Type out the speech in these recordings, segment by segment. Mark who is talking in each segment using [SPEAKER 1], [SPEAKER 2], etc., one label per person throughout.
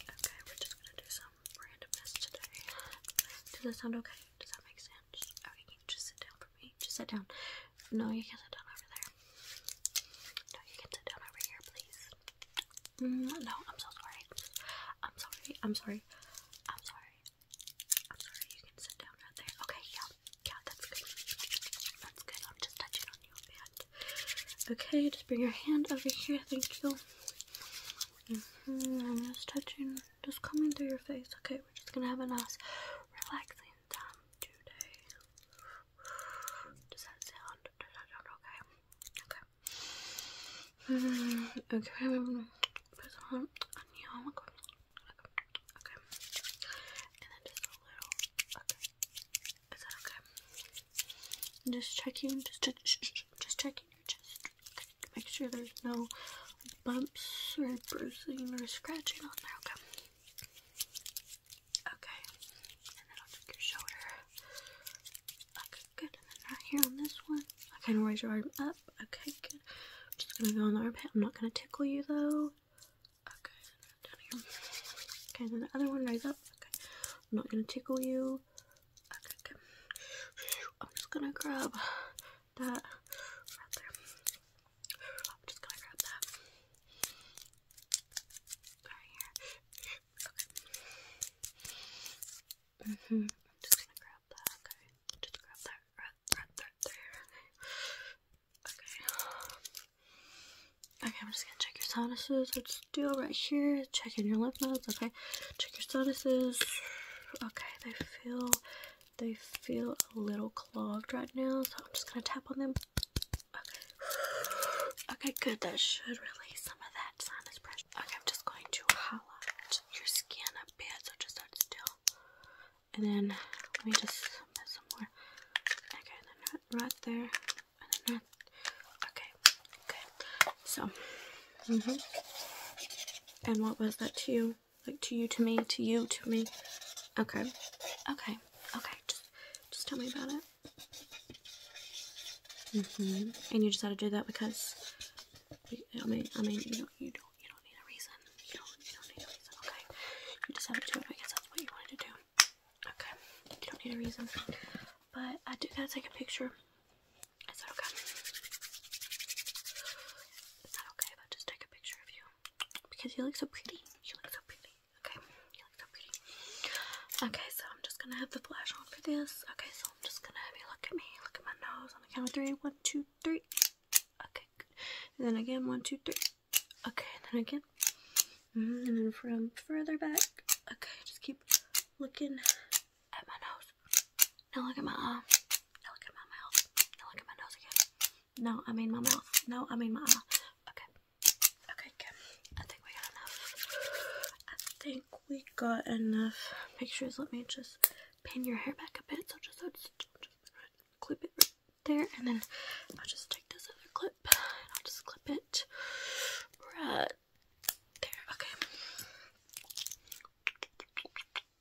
[SPEAKER 1] Okay, we're just gonna do some randomness today. Does that sound okay? Does that make sense? Okay, just sit down for me? Just sit down. No, you can't sit down over there. No, you can sit down over here, please. Mm, no, I'm so sorry. I'm sorry. I'm sorry. I'm sorry. I'm sorry. You can sit down right there. Okay, yeah. Yeah, that's good. That's good. I'm just touching on Okay, just bring your hand over here. Thank you. Mm I'm just touching, just coming through your face. Okay, we're just gonna have a nice, relaxing time today. Does that sound? okay? Okay. Mm-hmm, okay. Oh okay. Is that okay? just checking, just just checking your chest. Okay, make sure there's no bumps or bruising or scratching on there. Okay. Okay, and then I'll check your shoulder. Okay, good. And then right here on this one. Okay, now raise your arm up. Okay, good. just gonna go on the armpit. I'm not gonna tickle you though. Okay, down here. Okay, then the other one raise up. Okay, I'm not gonna tickle you. I'm just gonna grab that right there. I'm just gonna grab that right here. Okay. Mm hmm I'm just gonna grab that. Okay. Just grab that right, right, there. Okay. Okay, I'm just gonna check your sinuses. So just do it right here. Check in your lymph nodes. Okay, check your sinuses. Okay, they feel they feel a little clogged right now, so I'm just gonna tap on them. Okay. good. That should release some of that sinus pressure. Okay, I'm just going to highlight your skin a bit, so just start still. And then let me just put some more. Okay, then right there. Okay, okay. So, hmm. And what was that to you? Like to you, to me, to you, to me. Okay, okay, okay. Just, just tell me about it. hmm. And you decided to do that because, I mean, I mean, you don't, you don't, you don't need a reason. You don't, you don't need a reason. Okay. You decided to do it I guess that's what you wanted to do. Okay. You don't need a reason. But I do gotta take a picture. Is that okay? Is that okay if just take a picture of you? Because you look so pretty. You look so pretty. Okay, you look so pretty. Okay, so I'm just gonna have the flash on for this. Okay, so I'm just gonna have you look at me, look at my nose on the count of three. One, two, three. Okay, And then again, one, two, three. Okay, and then again. Mm, and then from further back. Okay, just keep looking at my nose. Now look at my eye. Uh, now look at my mouth. Now look at my nose again. No, I mean my mouth. No, I mean my eye. Okay. Okay, good. I think we got enough. I think we got enough pictures. Let me just pin your hair back a bit. So just, clip it there. And then I'll just take this other clip and I'll just clip it right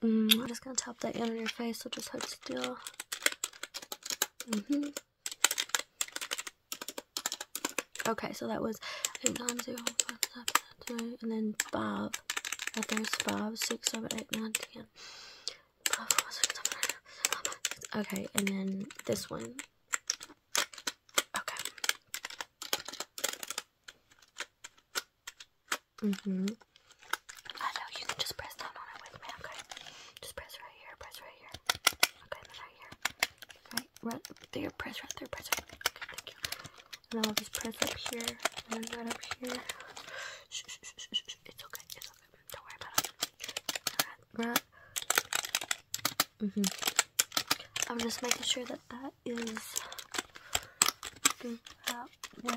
[SPEAKER 1] Mm, I'm just gonna tap that in on your face, so just hold still. Mm Okay, so that was eight, nine, zero, five, seven, three, and then five. there's five, six, seven, eight, nine, ten. Five, Okay, and then this one. Okay. hmm I know you can just press down on it with me, okay? Just press right here, press right here. Okay, right here. Right, right press right there, press right Okay, thank you. Now I'll just press up here and up here. Shh, shh, shh, shh, It's okay, it's okay. Don't worry about it. right. Mm-hmm. I'm just making sure that that is good that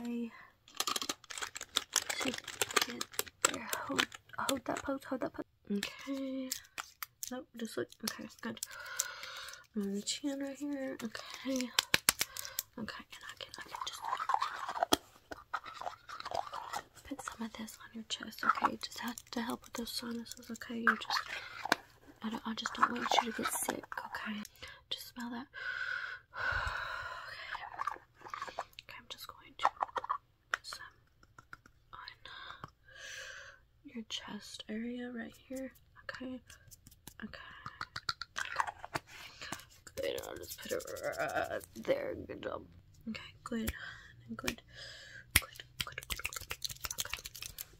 [SPEAKER 1] way. See, get there. Hold, that pose, hold that pose. Okay. Nope, just look. Okay, good. On the chin here. Okay. Okay, and I can, I can just put some of this on your chest, okay? Just have to help with those sinuses, okay? You just, I, don't, I just don't want you to get sick, okay? Just smell that. Okay. Okay, I'm just going to put some on your chest area right here, okay? Okay. Good, I'll just put it right there. Good job. Okay, good. Good. Good,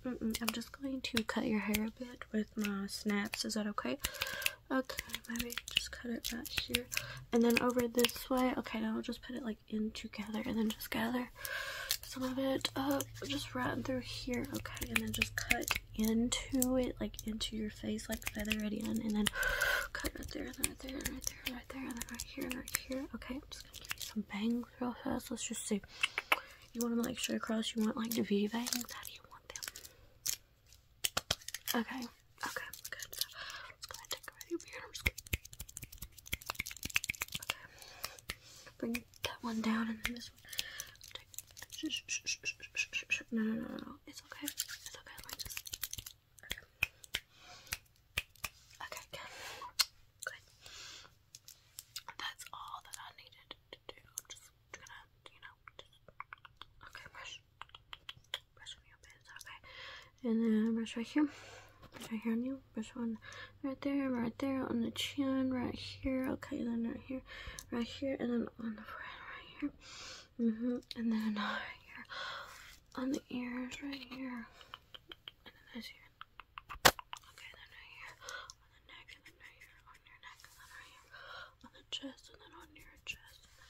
[SPEAKER 1] I'm just going to cut your hair a bit with my snaps. Is that okay? Okay, maybe just cut it right here. And then over this way. Okay, now I'll just put it like in together and then just gather some of it up just right through here. Okay, and then just cut into it, like into your face, like feathered in. And then cut right there, and right there, and right there, and right there, and then right here, and right here. Okay, some bangs real fast. Let's just see. You want them like straight across? You want like the V bangs? How do you want them? Okay. Okay. Good. So let's go ahead and take over your beard. I'm just gonna... Okay. Bring that one down and then this one. Take... No, no, no, no, no. It's okay. It's okay like this. Okay, good. Good. That's all that I needed to do. I'm just gonna, you know, just, okay, brush, brush on your bits, okay. And then brush right here, brush right here on you, brush one right there, right there, on the chin, right here, okay, then right here, right here, and then on the front right here. Mm-hmm. And then uh, right here on the ears right here and then this here. Okay, then right here on the neck, and then right here on your neck, and then right here on the chest, and then on your chest, and then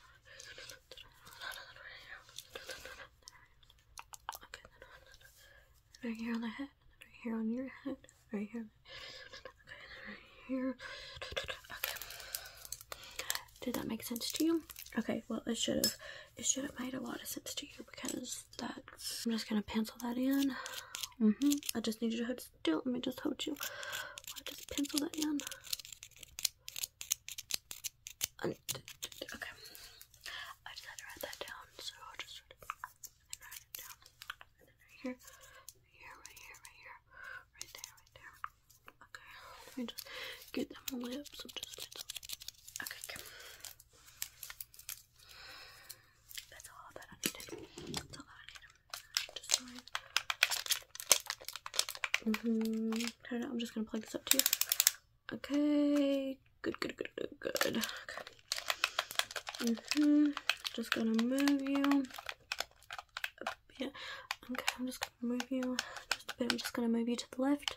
[SPEAKER 1] Okay, then right here on the head, and then right here on your head, right here. Okay, then right here. Okay. Did that make sense to you? Okay, well, it should have it should have made a lot of sense to you because that's. I'm just gonna pencil that in. Mm-hmm. I just need you to hold still. Let me just hold you. I just pencil that in. And, okay. I just had to write that down, so I'll just and write it down. And then right here, right here, right here, right there, right there. Okay. Let me just get them lips. I'm just pencil. Okay. That's all that I needed. That's all I needed. Just fine. -hmm. I am mm-hmm. just gonna plug this up to you. Okay. Good. Good. Good. Good. hmm. Just gonna move you a bit. Okay. I'm just gonna move you a bit. I'm just gonna move you to the left.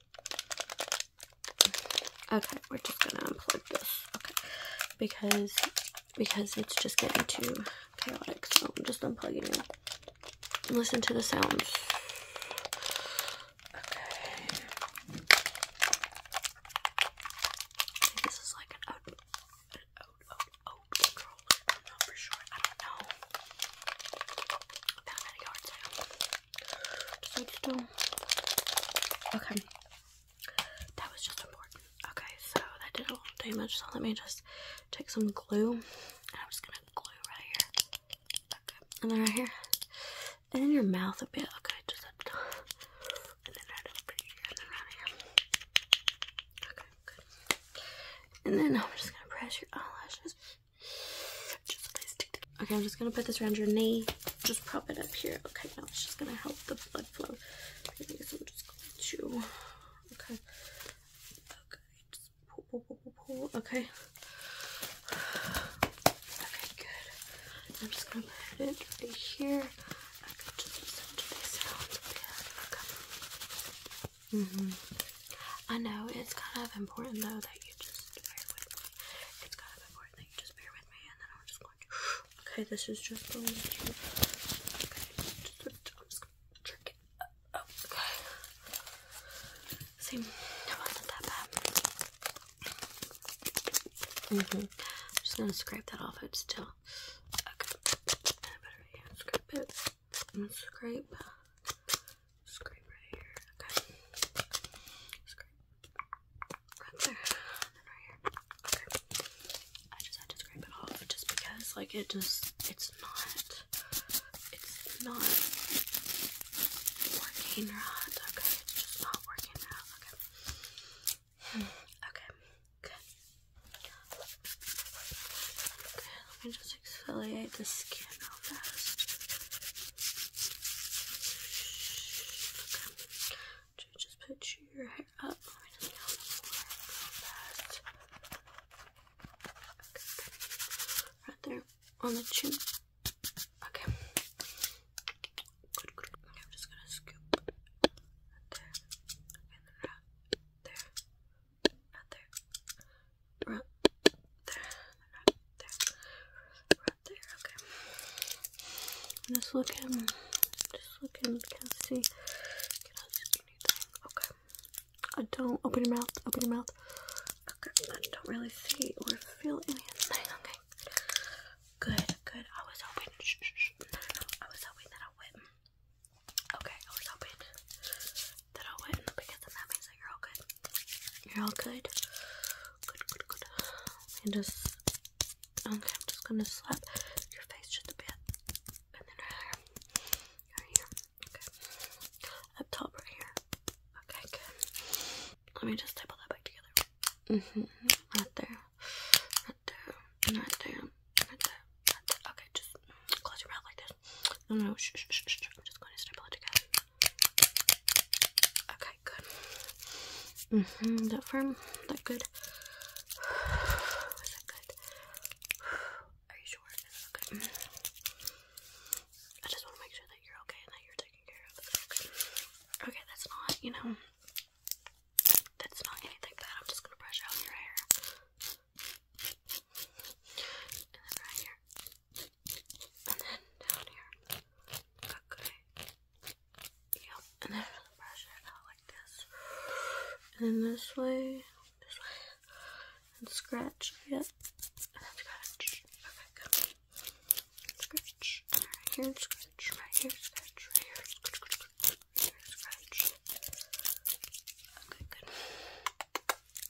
[SPEAKER 1] Okay, we're just gonna unplug this. Okay, because because it's just getting too chaotic, so I'm just unplugging it. Listen to the sounds. Okay. This is like an out, out, out controller. I'm not for sure. I don't know. Okay. That was just important. Okay, so that did a little damage. So let me just take some glue, and I'm just gonna glue right here. and then right here, and in your mouth a bit. Okay, just up top, and then right here, Okay, And then I'm just gonna press your eyelashes. Okay, I'm just gonna put this around your knee. Just prop it up here. Okay, now it's just gonna help the blood flow. Okay, I'm just going to. Okay. good. I'm just gonna put it right here. hmm I know it's kind of important though that you just It's kind of important that you just bear with me, and then I'm just going Okay, this is just going to. Okay, just, not that bad. hmm. just gonna scrape that off. It's still. Okay. I scrape it. scrape. Scrape right here. Okay. Scrape. Right there. then right here. Okay. I just had to scrape it off just because, like, it just, it's not, it's not working right. Okay. not working right. Okay. Hmm. Okay. Good let me just exfoliate the skin real fast. Okay. Just put your hair up. Okay. Right there on the chin. Okay. I'm just gonna scoop right there. there. there right there, right there, right there, okay. I'm just looking, just looking, can't see, okay. I don't, open your mouth, open your mouth. Okay, I don't really see or feel anything, okay. Good, good, I was hoping, I was hoping that I would Okay, I was hoping that I'll in the picket, then that means that you're all good. You're all good. Good, good, good. And just okay, I'm just gonna slap your face just a bit, and then right here, right here. Okay, up top, right here. Okay, good. Let me just staple that back together. Mhm. right there. Right there. right there. Right there. Okay, just close your mouth like this. No, no, shh, shh, I'm just going to staple it together. Okay, good. -hmm. That firm? That good? Is that good? Are you sure? okay? Mm. I just want to make sure that you're okay and that you're taken care of. okay, that's not, you know, that's not anything bad. I'm just going to brush out your hair. And then right here. And then down here. Okay. Yep. And then for the brush it out like this. And this way. This way. And scratch. Yep. And then scratch. Okay, Scratch. Right here scratch. Right here, scratch. Right here. Scratch, scratch. Right here, scratch. Okay, good.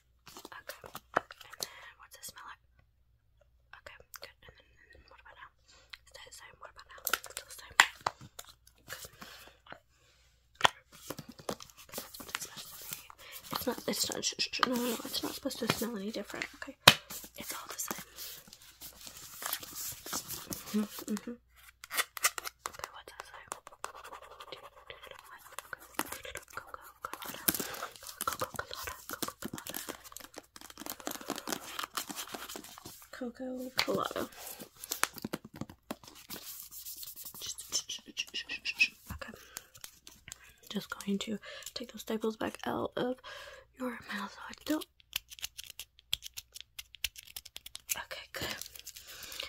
[SPEAKER 1] Okay. And then what's it smell like? Okay, good. And then, what about now? Stay the same. What about now? Still the same. Good. That's what it smells like. It's not. It's not. no, no, no. It's not supposed to smell any different. Okay. It's all the same. -hmm, mm -hmm. Okay, what's that say? Coco Colada. Okay. Just going to take those staples back out of your mouth so I Okay, good.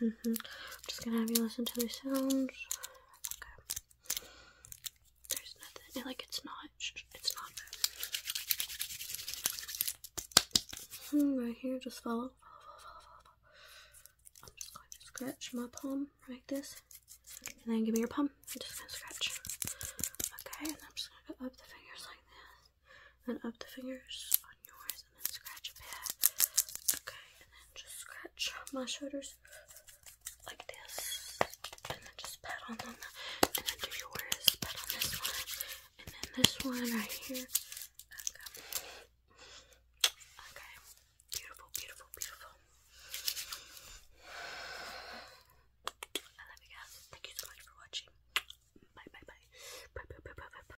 [SPEAKER 1] -hmm. just gonna have you listen to the sounds. Okay. There's nothing. Like it's not. It's not. Hmm, right here, just follow. I'm just going to scratch my palm like this, and then give me your palm. I'm just gonna scratch. Okay, and I'm just gonna up the fingers like this, and up the fingers yours and then scratch a bit. Okay, and then just scratch my shoulders like this. And then just pat on them. And then do yours. Pat on this one. And then this one right here. Okay. Okay. Beautiful, beautiful, beautiful. I love you guys. Thank you so much for watching. bye bye. Bye bye bye bye bye.